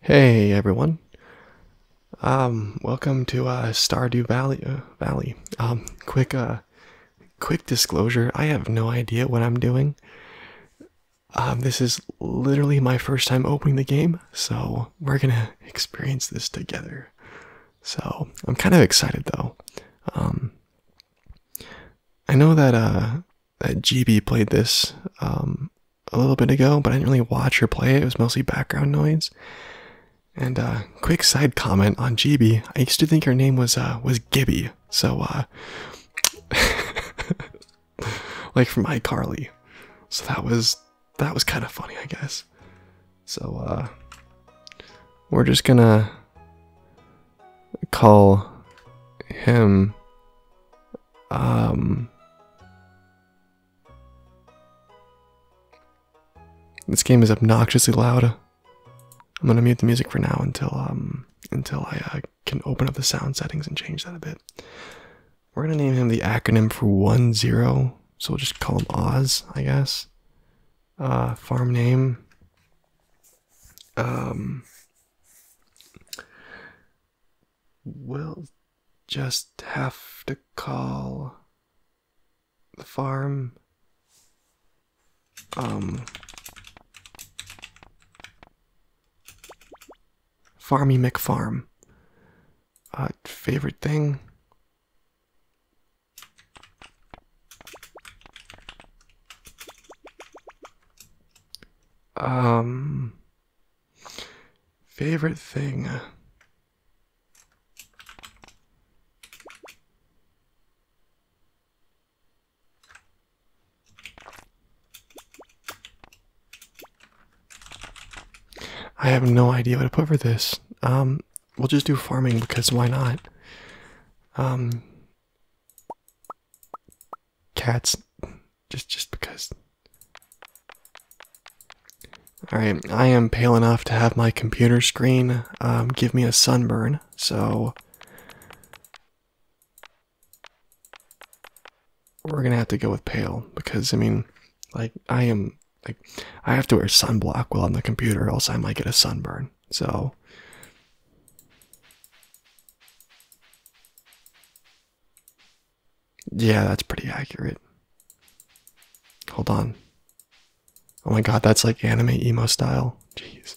Hey everyone. Um, welcome to uh, Stardew Valley. Uh, Valley. Um, quick, uh, quick disclosure. I have no idea what I'm doing. Um, this is literally my first time opening the game, so we're gonna experience this together. So I'm kind of excited though. Um, I know that uh, that GB played this um, a little bit ago, but I didn't really watch her play it. It was mostly background noise. And uh, quick side comment on GB. I used to think her name was uh, was Gibby. So uh, like from iCarly. So that was that was kind of funny, I guess. So uh we're just gonna call him um, This game is obnoxiously loud. I'm gonna mute the music for now until um, until I uh, can open up the sound settings and change that a bit. We're gonna name him the acronym for one zero, so we'll just call him Oz, I guess. Uh, farm name. Um, we'll just have to call the farm. Um, Farmy McFarm. A uh, favorite thing? Um, favorite thing. I have no idea what to put for this. Um, we'll just do farming because why not? Um, cats just just because all right i am pale enough to have my computer screen um, give me a sunburn so we're gonna have to go with pale because i mean like i am like i have to wear sunblock while on the computer else i might get a sunburn so yeah, that's pretty accurate. Hold on. Oh my god, that's like anime emo style. Jeez.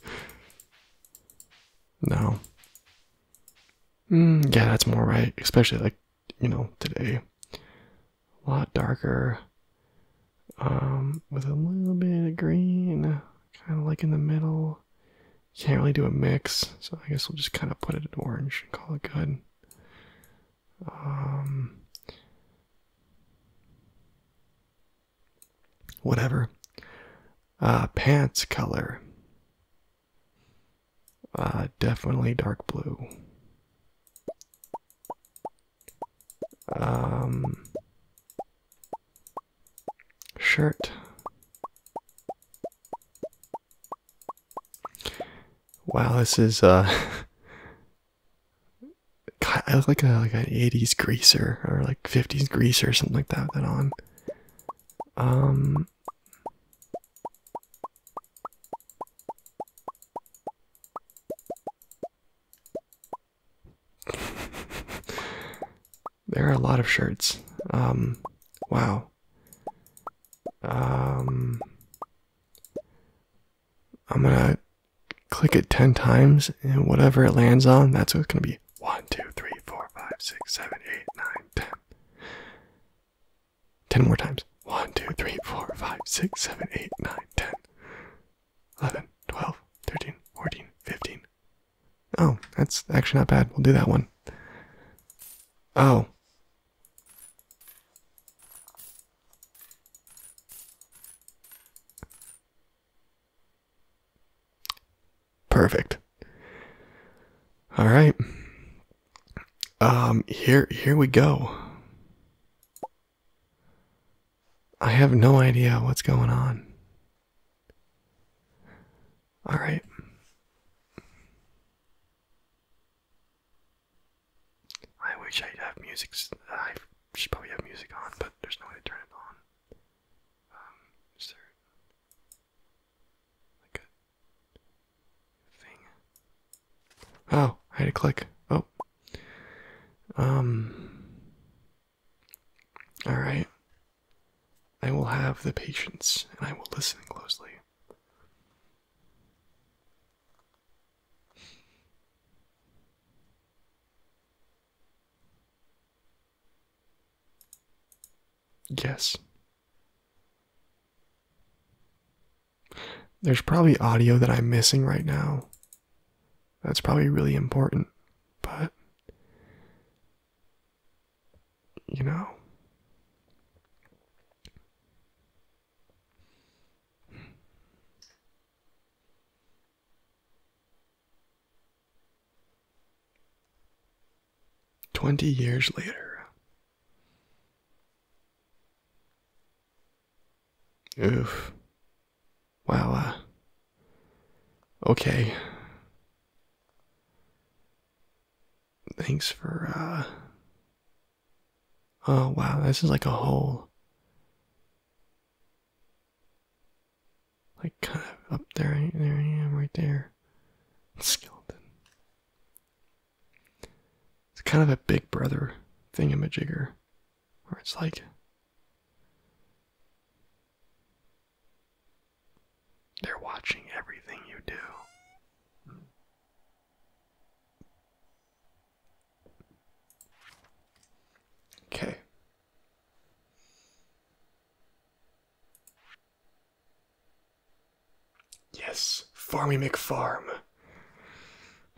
No. Hmm, yeah, that's more right, especially like, you know, today. A lot darker. Um, with a little bit of green kind of like in the middle. Can't really do a mix, so I guess we'll just kind of put it in orange and call it good. Um, whatever. Uh, pants color. Uh, definitely dark blue. Um, Shirt. Wow, this is uh I look like a like an 80s greaser or like 50s greaser or something like that that on. Um there are a lot of shirts. Um, wow. Um, I'm gonna click it 10 times, and whatever it lands on, that's what's gonna be. 1, 2, 3, 4, 5, 6, 7, 8, 9, 10. 10 more times. 1, 2, 3, 4, 5, 6, 7, 8, 9, 10, 11, 12, 13, 14, 15, Oh, that's actually not bad. We'll do that one. Oh. Perfect. All right. Um here here we go. I have no idea what's going on. All right. I wish I'd have music. I should probably have music on, but there's no way to turn it on. Um, is there like a thing? Oh, I had to click. Oh. Um. All right. I will have the patience and I will listen closely. Yes. There's probably audio that I'm missing right now. That's probably really important, but you know? Twenty years later. Oof. Wow. Uh, okay. Thanks for, uh. Oh, wow, this is like a hole. Like, kind of up there. There I am, right there. Skeleton. It's kind of a big brother thing thingamajigger. Where it's like. They're watching everything you do. Okay. Yes, Farmy McFarm.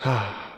Ah.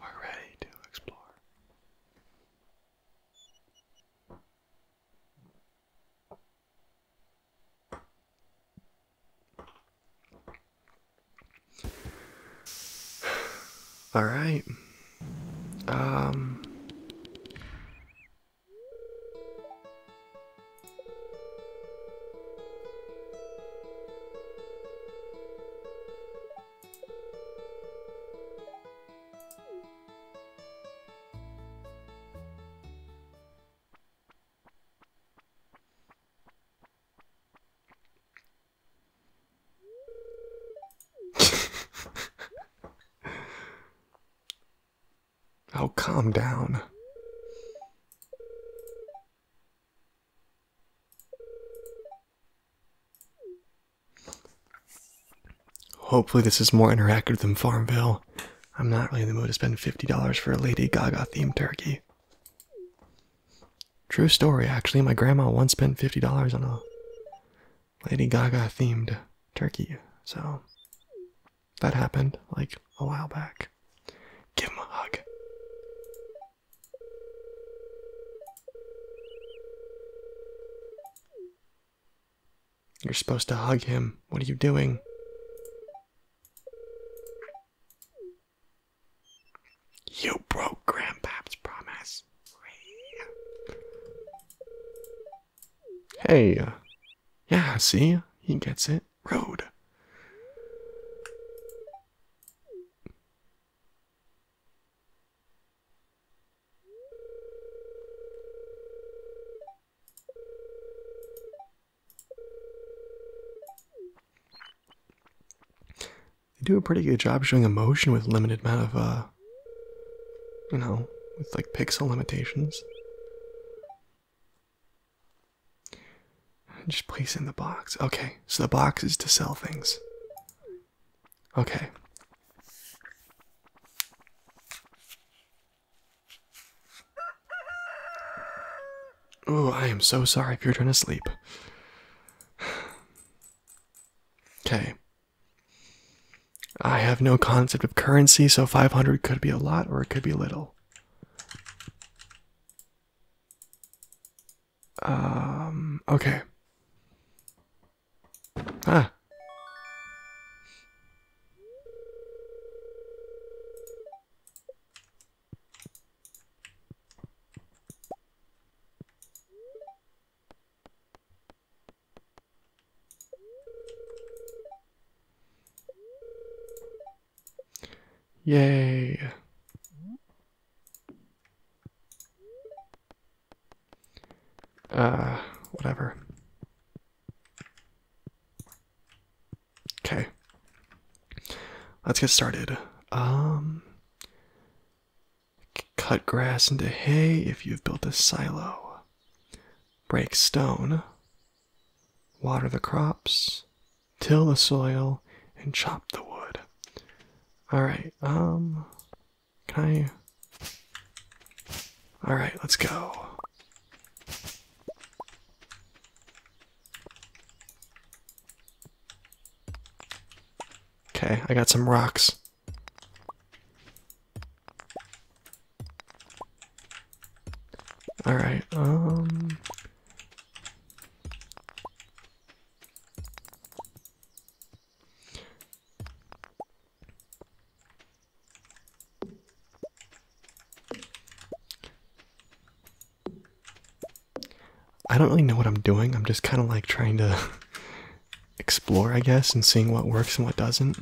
are ready to explore. All right. Um oh, calm down. Hopefully this is more interactive than Farmville. I'm not really in the mood to spend $50 for a Lady Gaga themed turkey. True story, actually. My grandma once spent $50 on a Lady Gaga themed turkey, so that happened like a while back. Give him a hug. You're supposed to hug him. What are you doing? You broke Grandpap's promise. Hey. Uh, yeah, see? He gets it. Rude. They do a pretty good job showing emotion with limited amount of, uh, you know, with like pixel limitations. Just place in the box. Okay, so the box is to sell things. Okay. Ooh, I am so sorry if you're trying to sleep. Okay. I have no concept of currency, so 500 could be a lot or it could be little. Um, okay. Ah. Yay. Uh, whatever. Okay. Let's get started. Um, cut grass into hay if you've built a silo. Break stone. Water the crops till the soil and chop the wood. All right. Um can I All right, let's go. Okay, I got some rocks. All right. Um I don't really know what I'm doing. I'm just kind of like trying to explore, I guess, and seeing what works and what doesn't.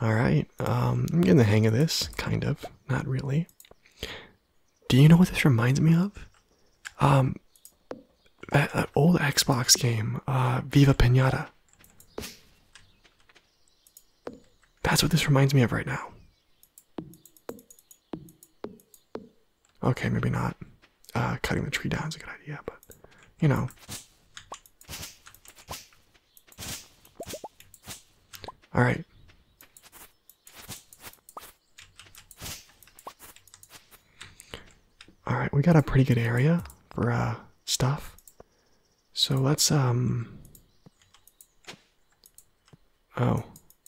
Alright, um, I'm getting the hang of this, kind of. Not really. Do you know what this reminds me of? Um, that, that old Xbox game, uh, Viva Pinata. That's what this reminds me of right now. Okay, maybe not. Uh, cutting the tree down is a good idea, but you know. All right. All right, we got a pretty good area for uh, stuff. So let's um Oh.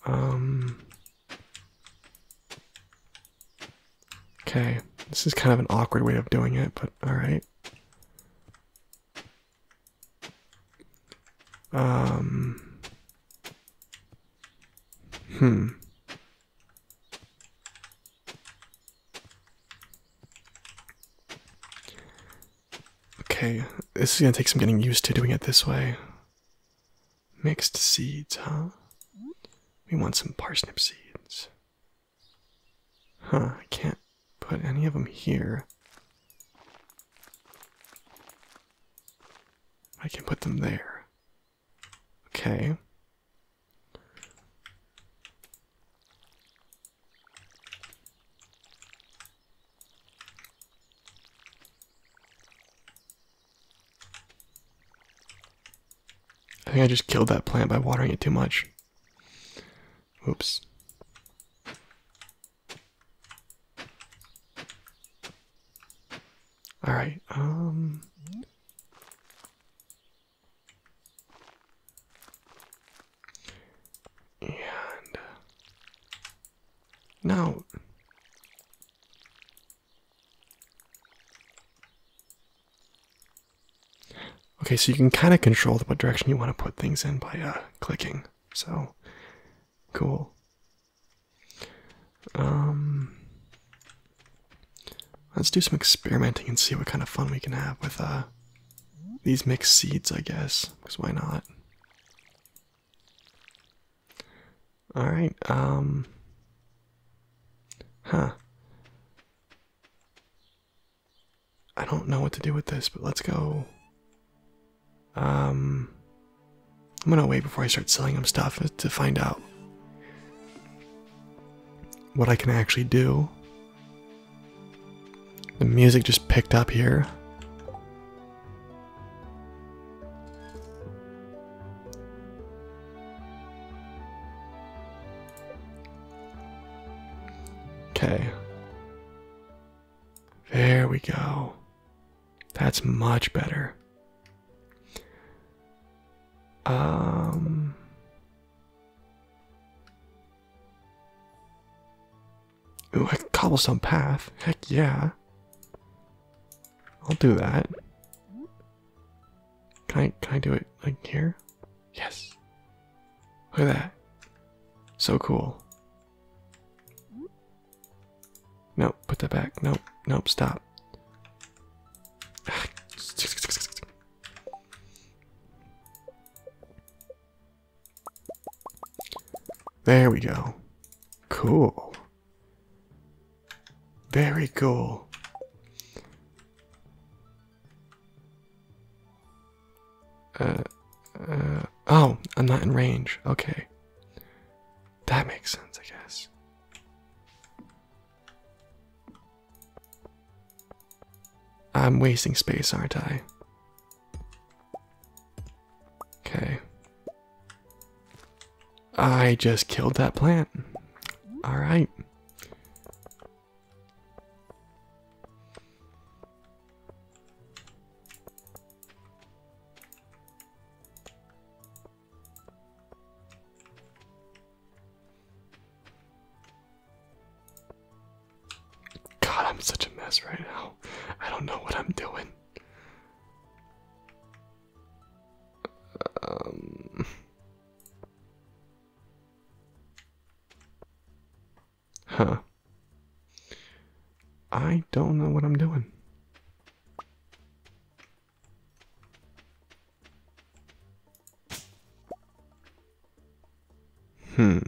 Um, okay. This is kind of an awkward way of doing it, but alright. Um. Hmm. Okay, this is gonna take some getting used to doing it this way. Mixed seeds, huh? We want some parsnip seeds. Huh, I can't put any of them here. I can put them there. Okay. I think I just killed that plant by watering it too much. Oops. All right. Um and now, okay, so you can kind of control what direction you want to put things in by uh, clicking. So, cool. Um, let's do some experimenting and see what kind of fun we can have with uh, these mixed seeds, I guess. Because why not? Alright, um. Huh. I don't know what to do with this, but let's go. Um. I'm gonna wait before I start selling them stuff to find out what I can actually do. The music just picked up here. Okay. There we go. That's much better. Um Ooh, a cobblestone path. Heck yeah. I'll do that. Can I can I do it like here? Yes. Look at that. So cool. Nope, put that back. Nope, nope, stop. There we go. Cool. Very cool. Uh, uh, oh, I'm not in range. Okay. That makes sense, I guess. I'm wasting space, aren't I? Okay. I just killed that plant. Alright. God, I'm such a mess right now. I don't know what I'm doing. Um, huh. I don't know what I'm doing. Hmm.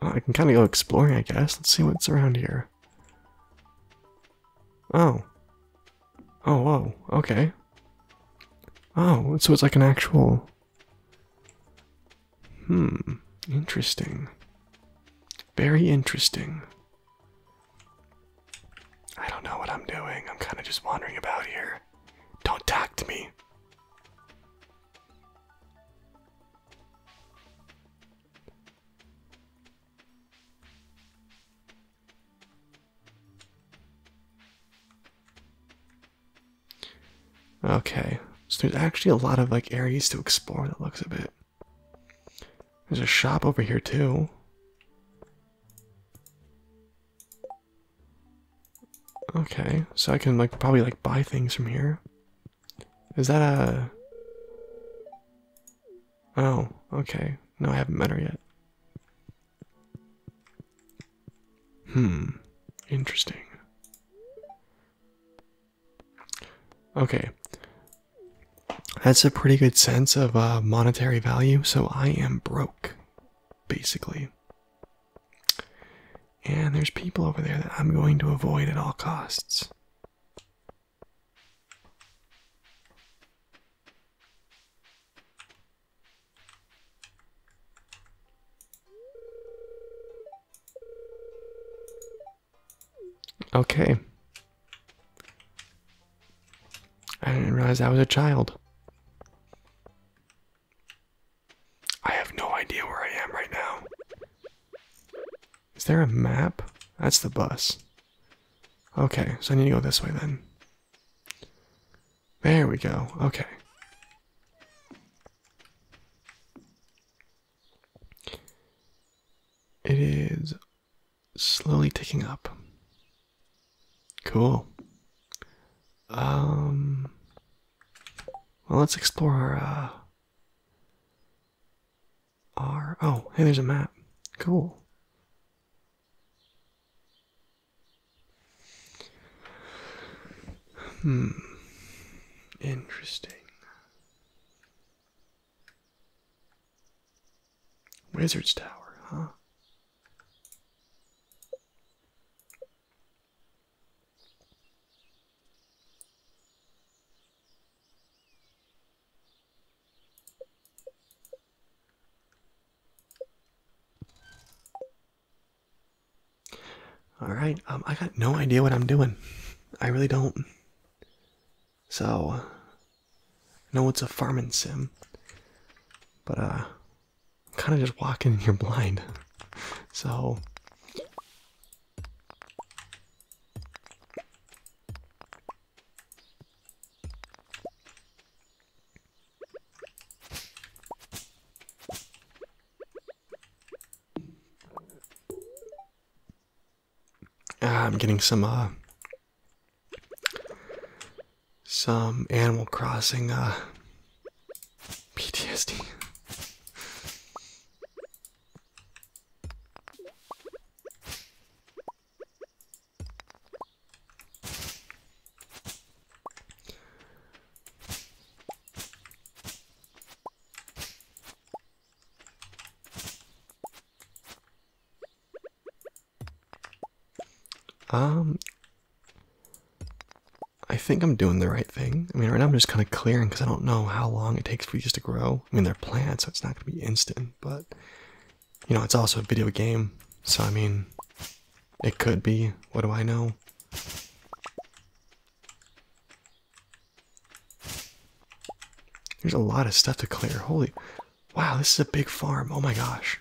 Uh, I can kind of go exploring, I guess. Let's see what's around here. Oh. Oh, whoa. Okay. Oh, so it's like an actual... Hmm. Interesting. Very interesting. I don't know what I'm doing. I'm kind of just wandering about here. Don't talk to me. Okay, so there's actually a lot of like areas to explore that looks a bit. There's a shop over here too. Okay, so I can like probably like buy things from here. Is that a Oh, okay. No, I haven't met her yet. Hmm. Interesting. Okay. That's a pretty good sense of uh, monetary value, so I am broke basically. And there's people over there that I'm going to avoid at all costs. Okay. I didn't realize I was a child. I have no idea where I am right now. Is there a map? That's the bus. Okay, so I need to go this way then. There we go. Okay. It is slowly ticking up. Cool. Um. Well, let's explore our. Uh, our oh, hey, there's a map. Cool. Hmm. Interesting. Wizard's Tower, huh? All right, um, I got no idea what I'm doing. I really don't. So, I know it's a farming sim, but uh, kind of just walking you're blind. So ah, I'm getting some uh some Animal Crossing uh, PTSD. Um, I think I'm doing the right thing. I mean, right now I'm just kind of clearing because I don't know how long it takes for these to grow. I mean, they're plants, so it's not going to be instant, but you know, it's also a video game, so I mean, it could be. What do I know? There's a lot of stuff to clear. Holy. Wow, this is a big farm. Oh my gosh.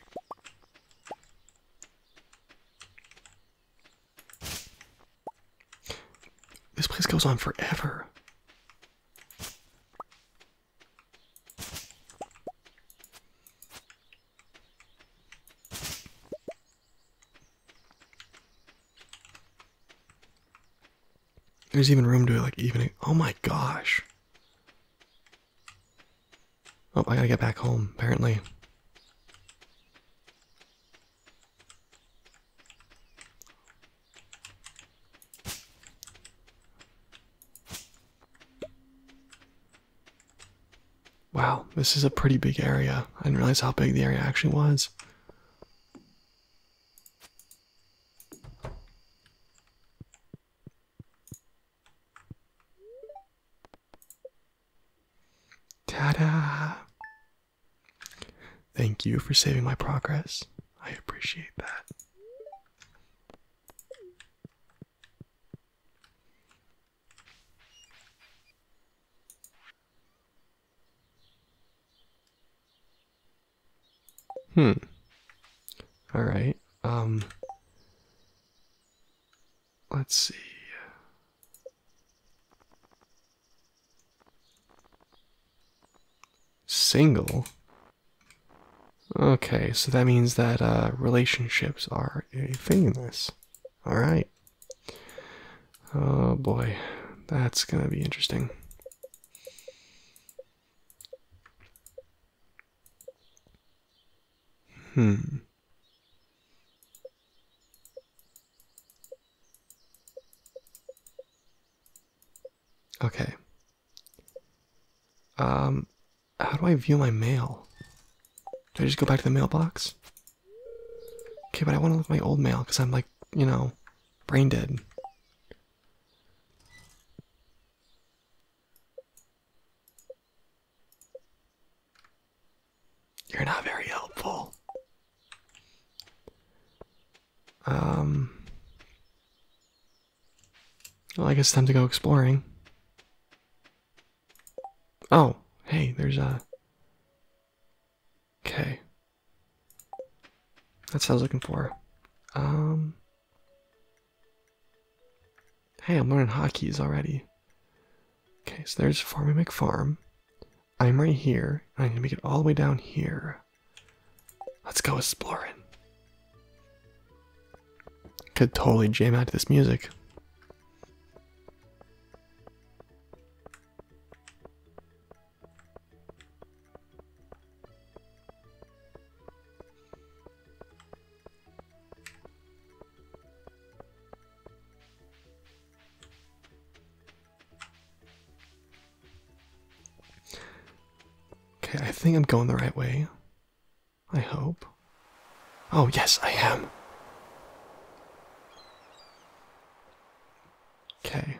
This place goes on forever. There's even room to like evening. Oh my gosh. Oh, I gotta get back home, apparently. Wow, this is a pretty big area. I didn't realize how big the area actually was. Ta-da! Thank you for saving my progress. I appreciate that. Hmm. All right. Um Let's see. Single. Okay, so that means that uh, relationships are a thing in this. Alright. Oh boy, that's gonna be interesting. Hmm. Okay. Um, how do I view my mail? Do I just go back to the mailbox? Okay, but I want to look at my old mail because I'm like, you know, brain dead. You're not very helpful. Um. Well, I guess it's time to go exploring. Oh, hey, there's a. Okay. That's what I was looking for. Um. Hey, I'm learning hockey's already. Okay, so there's Farmy McFarm. I'm right here, I'm gonna make it all the way down here. Let's go exploring. Could totally jam out to this music. Okay, I think I'm going the right way. I hope. Oh, yes, I am. Okay.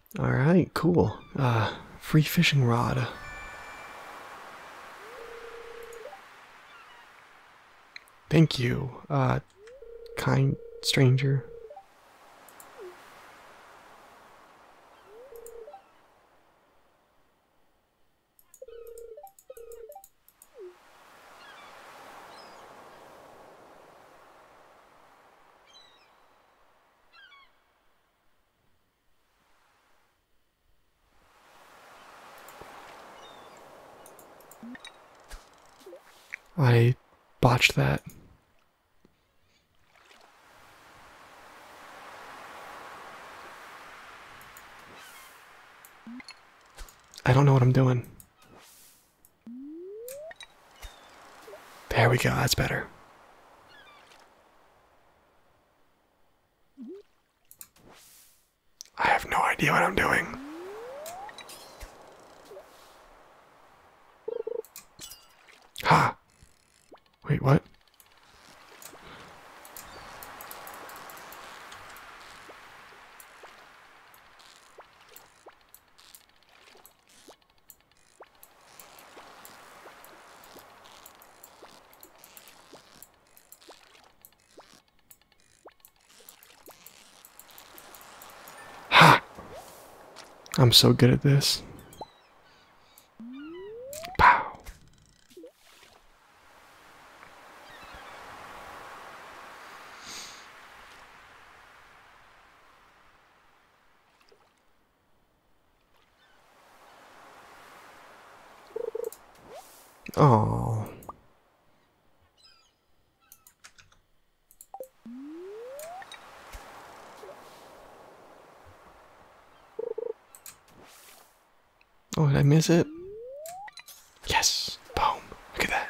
All right, cool. Uh, free fishing rod. Thank you, uh, kind stranger. I botched that. I don't know what I'm doing. There we go, that's better. I have no idea what I'm doing. Ha! Wait, what? Ha! I'm so good at this. Pow. Oh. Oh, did I miss it? Yes! Boom! Look at that.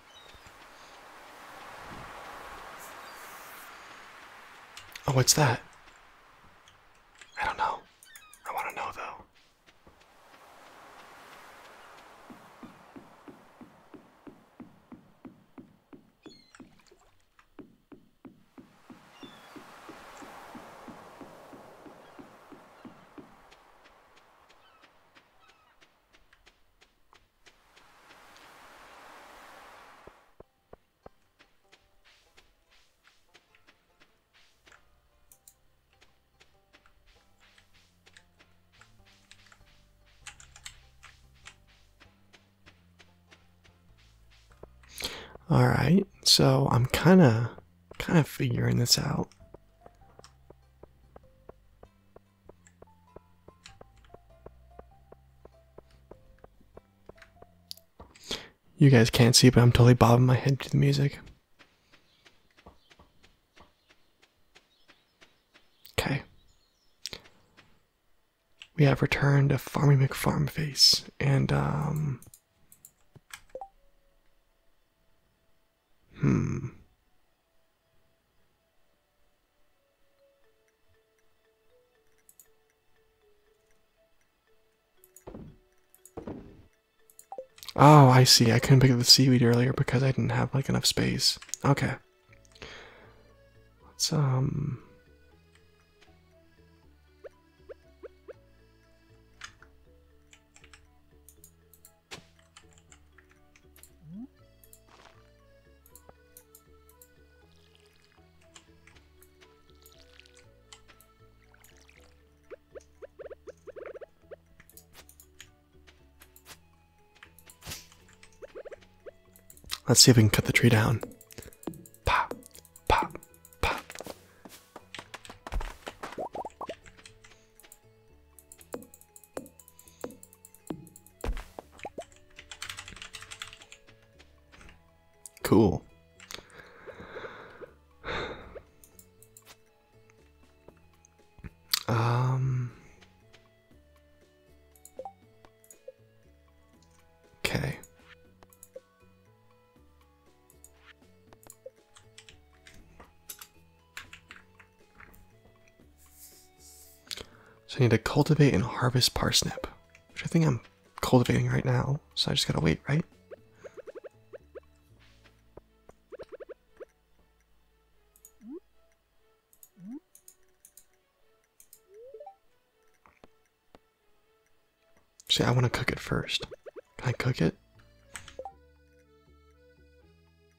Oh, what's that? I don't know. I want to know, though. All right, so I'm kind of kind of figuring this out. You guys can't see, but I'm totally bobbing my head to the music. Okay. We have returned to Farmy McFarm and, um. Hmm. Oh, I see. I couldn't pick up the seaweed earlier because I didn't have like enough space. Okay. Let's um Let's see if we can cut the tree down. Pop, pop, pop. Cool. Um. Okay. So I need to cultivate and harvest parsnip, which I think I'm cultivating right now. So I just gotta wait, right? See, I want to cook it first. Can I cook it?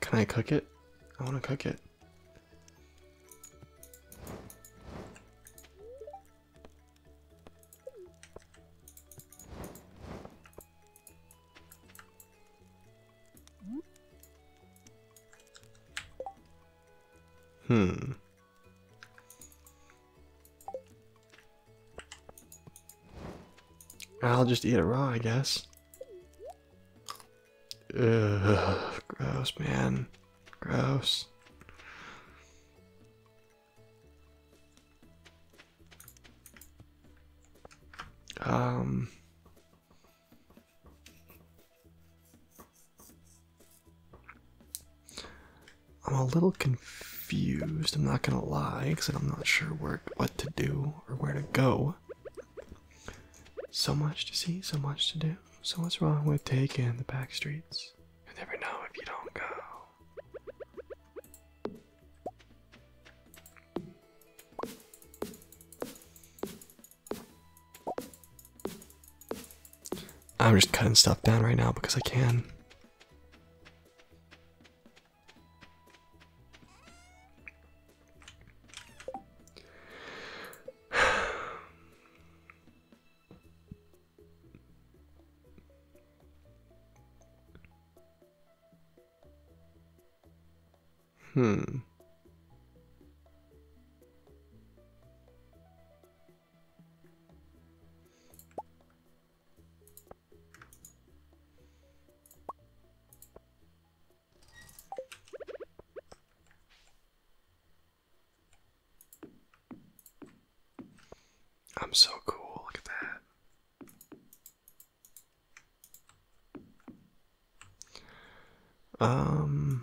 Can I cook it? I want to cook it. Hmm. I'll just eat it raw, I guess. Ugh, gross, man. Gross. Um. I'm a little confused, I'm not gonna lie, because I'm not sure where, what to do or where to go. So much to see, so much to do. So, what's wrong with taking the back streets? you never know if you don't go. I'm just cutting stuff down right now because I can. Hmm. I'm so cool, look at that. Um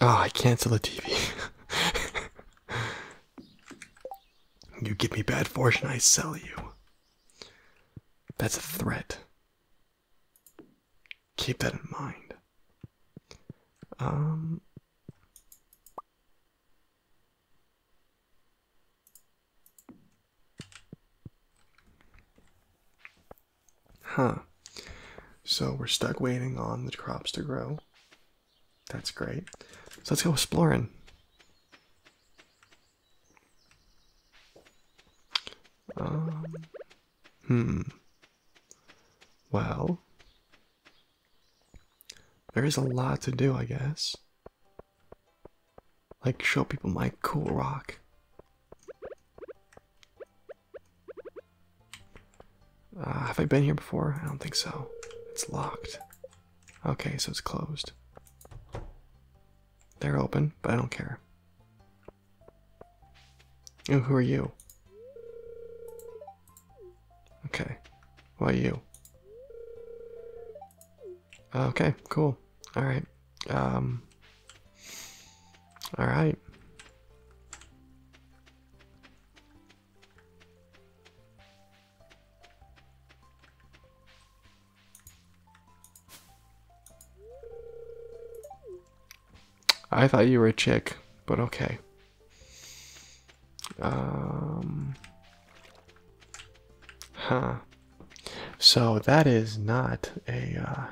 Ah, oh, I cancel the TV. you give me bad fortune, I sell you. That's a threat. Keep that in mind. Um Huh. So we're stuck waiting on the crops to grow. That's great. So let's go exploring. Um, hmm. Well, there is a lot to do, I guess. Like, show people my cool rock. Uh, have I been here before? I don't think so. It's locked. Okay, so it's closed. They're open, but I don't care. Oh, who are you? Okay. Why you? Okay, cool. Alright. Um Alright. I thought you were a chick, but okay. Um, huh. So that is not a. Uh,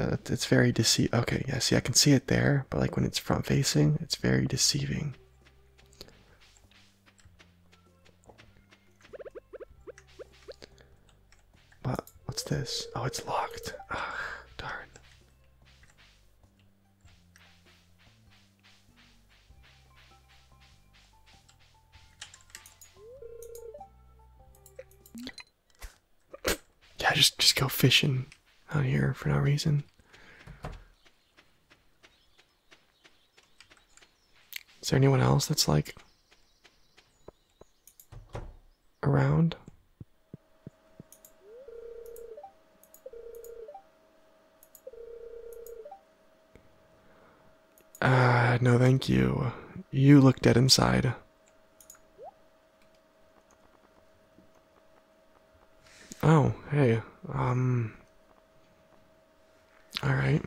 uh, it's very deceit. Okay, yeah. See, I can see it there, but like when it's front facing, it's very deceiving. What? What's this? Oh, it's locked. Ah, darn. Yeah, just just go fishing out here for no reason. Is there anyone else that's like around? Ah, no, thank you. You look dead inside. Oh, hey. Um all right.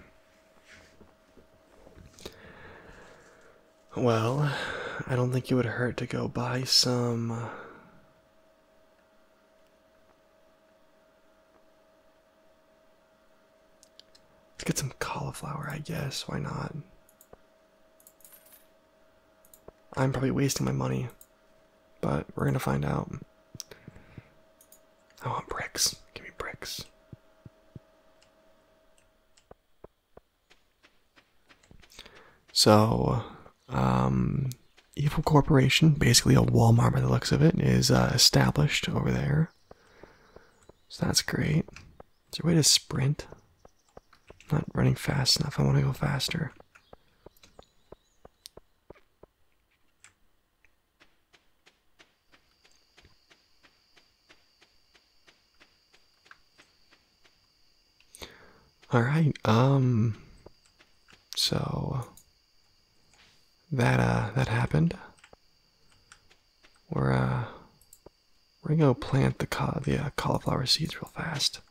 Well, I don't think it would hurt to go buy some. Uh, get some cauliflower, I guess. Why not? I'm probably wasting my money, but we're gonna find out. I want bricks. Give me bricks. So, um, Evil Corporation, basically a Walmart by the looks of it, is uh, established over there. So that's great. It's a way to sprint? not running fast enough. I want to go faster. All right. Um. So that uh that happened. We're uh we're gonna go plant the ca the uh, cauliflower seeds real fast.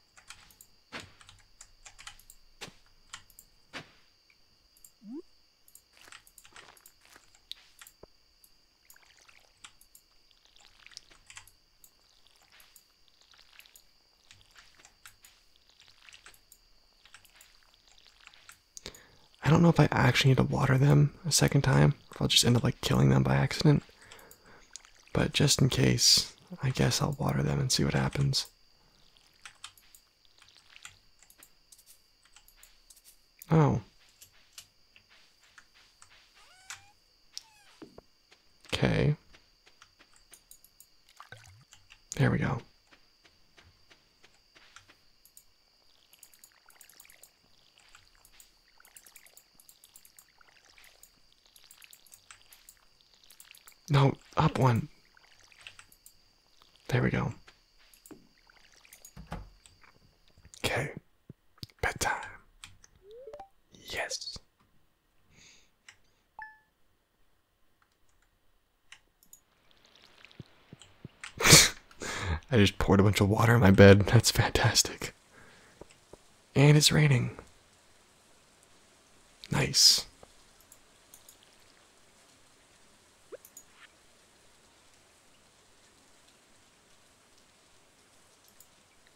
I don't know if I actually need to water them a second time, if I'll just end up like killing them by accident. But just in case, I guess I'll water them and see what happens. Oh. Okay. There we go. No, up one. There we go. Okay. Bedtime. Yes. I just poured a bunch of water in my bed. That's fantastic. And it's raining. Nice.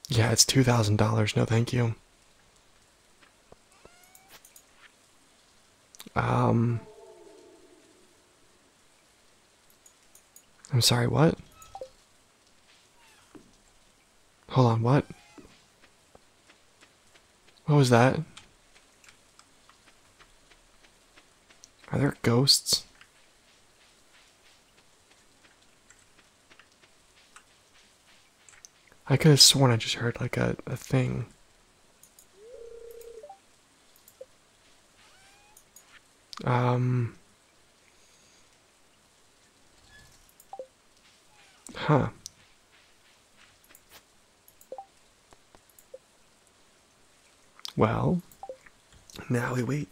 Yeah, it's $2,000. No, thank you. Um. I'm sorry, what? Hold on, what? What was that? Are there ghosts? I could have sworn I just heard like a, a thing. Um. Huh. Well, now we wait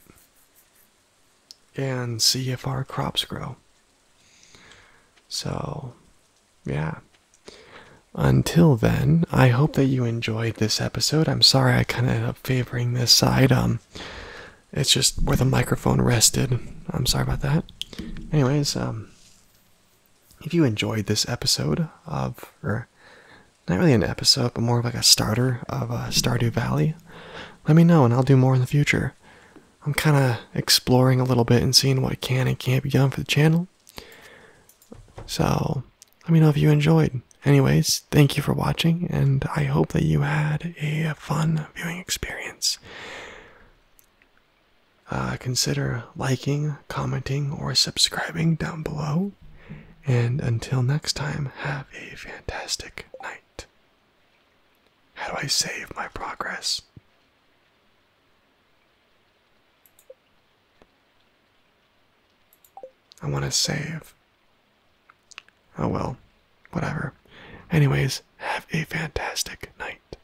and see if our crops grow. So, yeah. Until then, I hope that you enjoyed this episode. I'm sorry I kind of ended up favoring this side. Um, it's just where the microphone rested. I'm sorry about that. Anyways, um, if you enjoyed this episode of, or not really an episode, but more of like a starter of uh, Stardew Valley, let me know and I'll do more in the future. I'm kind of exploring a little bit and seeing what can and can't be done for the channel. So, let me know if you enjoyed. Anyways, thank you for watching, and I hope that you had a fun viewing experience. Uh, consider liking, commenting, or subscribing down below. And until next time, have a fantastic night. How do I save my progress? I want to save. Oh well, whatever. Anyways, have a fantastic night.